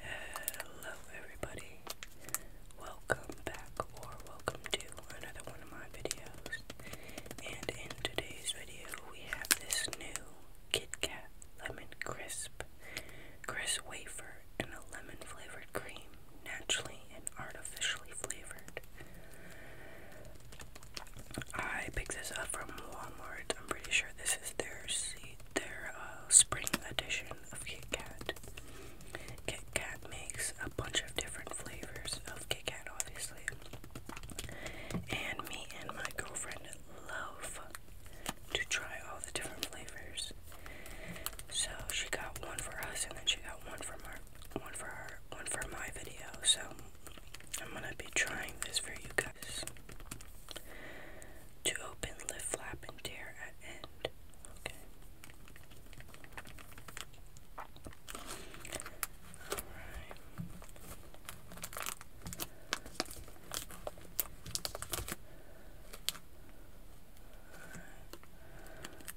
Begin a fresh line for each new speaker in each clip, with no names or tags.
Hello, everybody. Welcome back, or welcome to another one of my videos. And in today's video, we have this new Kit Kat Lemon Crisp, crisp wafer, and a lemon flavored cream, naturally and artificially flavored. I picked this up from Walmart. I'm pretty sure this is their C their uh, spring edition of Kit Kat. Kit Kat makes a bunch of different flavors of Kit Kat, obviously. And me and my girlfriend love to try all the different flavors. So she got one for us, and then she got one for my one for her, one for my video. So I'm gonna be trying this for you guys. To open, lift, flap, and tear at end. Alright.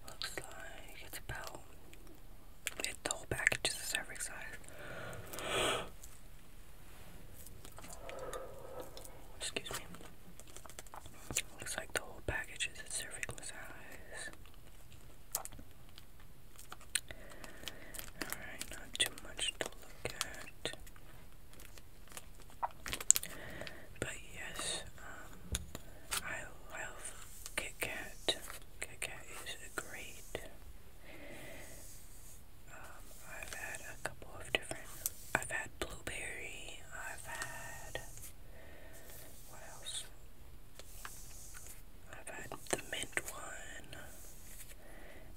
Looks like it's about it, the whole package is a serving size. Excuse me. Looks like the whole package is a cervical size. Alright, not too much to look at. But yes, um, I love Kit Kat. Kit Kat is great. Um, I've had a couple of different. I've had blueberry. I've had what else? I've had the mint one.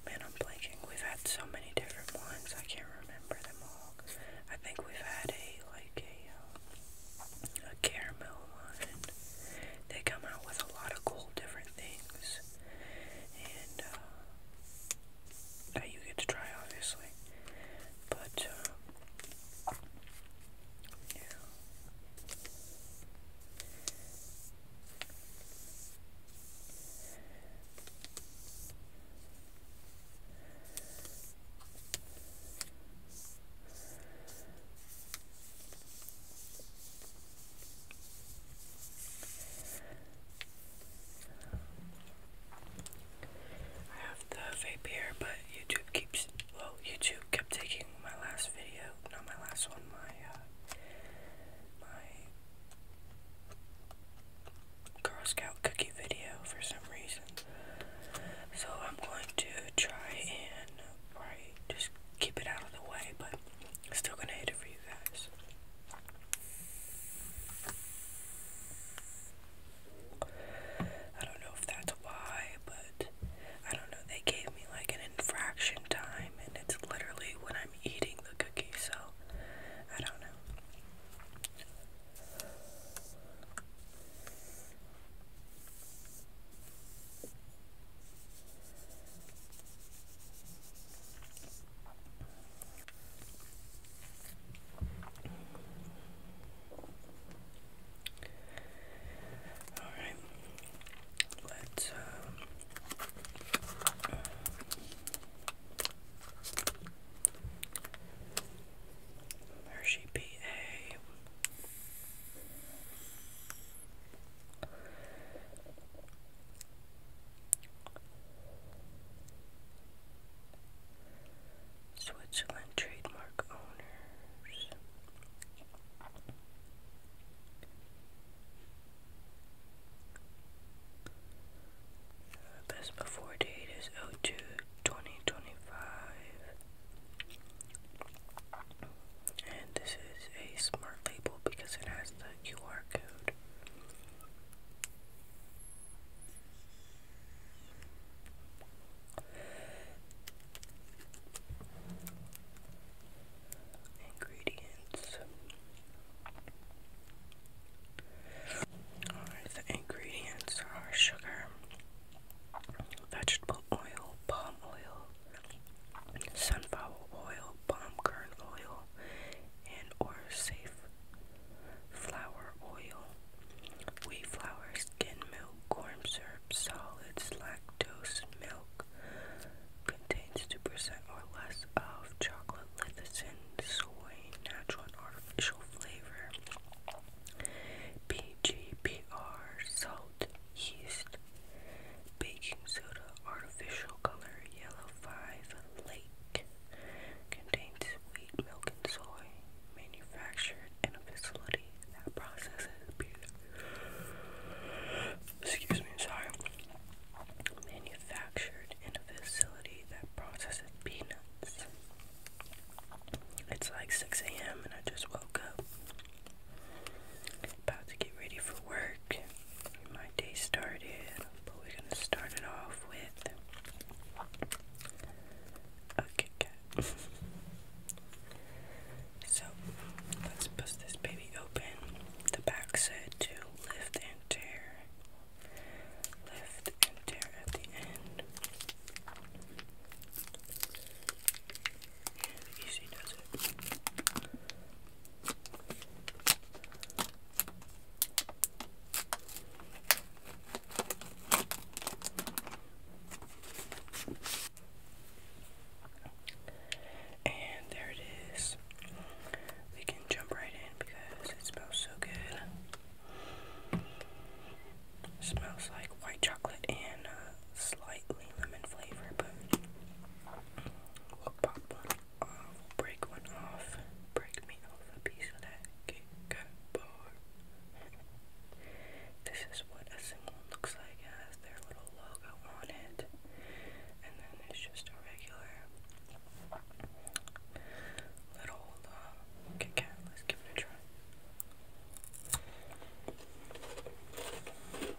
Man, I'm blanking. We've had so many different ones. I can't remember them all. I think we've had a like a um, a caramel one. They come out with a lot of cool different things and uh, that you get to try, obviously. But uh, I have the vape here, but YouTube keeps well. YouTube kept taking my last video, not my last one. My uh, my Girl Scout cookie video for some reason. So I'm going to try and just keep it out of the way, but Still gonna hit it for you guys. I don't know if that's why, but I don't know. They gave me like an infraction time, and it's literally when I'm eating the cookie, so I don't know. All right, let's. Um, Hershey PA. Switzerland trademark owners. The before date is 02 2025. And this is a smart label because it has the QR Ingredients. Alright, the ingredients are sugar, vegetable oil, palm oil, sunflower oil, palm kernel oil, and or safe flower oil, wheat flour, skin milk, corn syrup, solids, lactose, milk, contains 2% or less of chocolate, lithicin, soy, natural and artificial flavor, PGPR, salt, yeast, Baking soda, artificial color, yellow 5, lake. Contains wheat, milk, and soy. Manufactured in a facility that processes beer. Excuse me, sorry. Manufactured in a facility that processes peanuts. It's like 6 a.m. and I just woke up. About to get ready for work. my day started, but we're gonna start it off with a Kit so let's bust this baby open. The back said to lift and tear. Lift and tear at the end. easy does it. And there it is. We can jump right in because it smells so good. smells like white chocolate and uh, slightly lemon flavor, but break one off. Break me off a piece of that cake bar. This is what a symbol looks like. It has their little logo on it. And then it's just a regular little uh, Let's give it a try.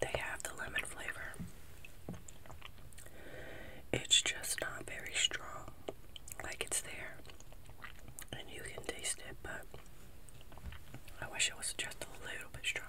They have the lemon flavor. It's just not very strong. Like it's there. And you can taste it, but I wish it was just a little bit stronger.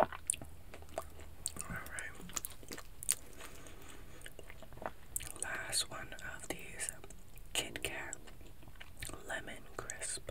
All right. Last one of these Kit Kat Lemon Crisp.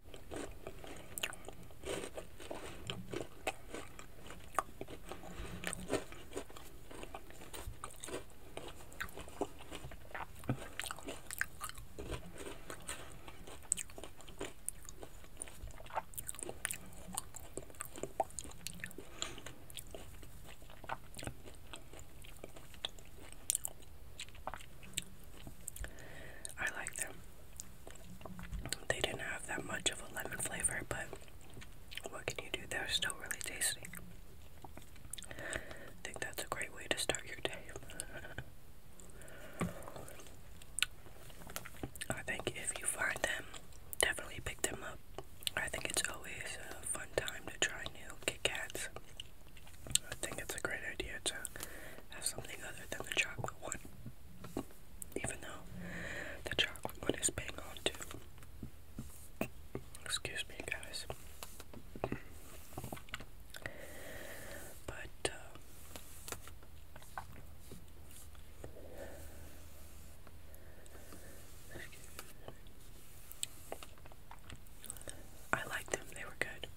I like them. They didn't have that much of a lemon flavor, but what can you do? They're still really tasty. I think that's a great way to start your day. I think if you find them, definitely pick them up. I think it's always a fun time to try new Kit Kats. I think it's a great idea to have something other than the chocolate one. Even though the chocolate one is bang on too. Excuse me, guys. But uh, I liked them; they were good.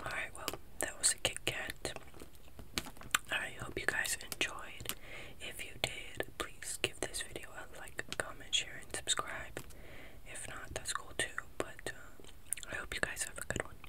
Alright, well, that was a Kit Kat. I hope you guys enjoyed. If you did, please give this video a like, comment, share, and subscribe. If not, that's cool too, but uh, I hope you guys have a good one.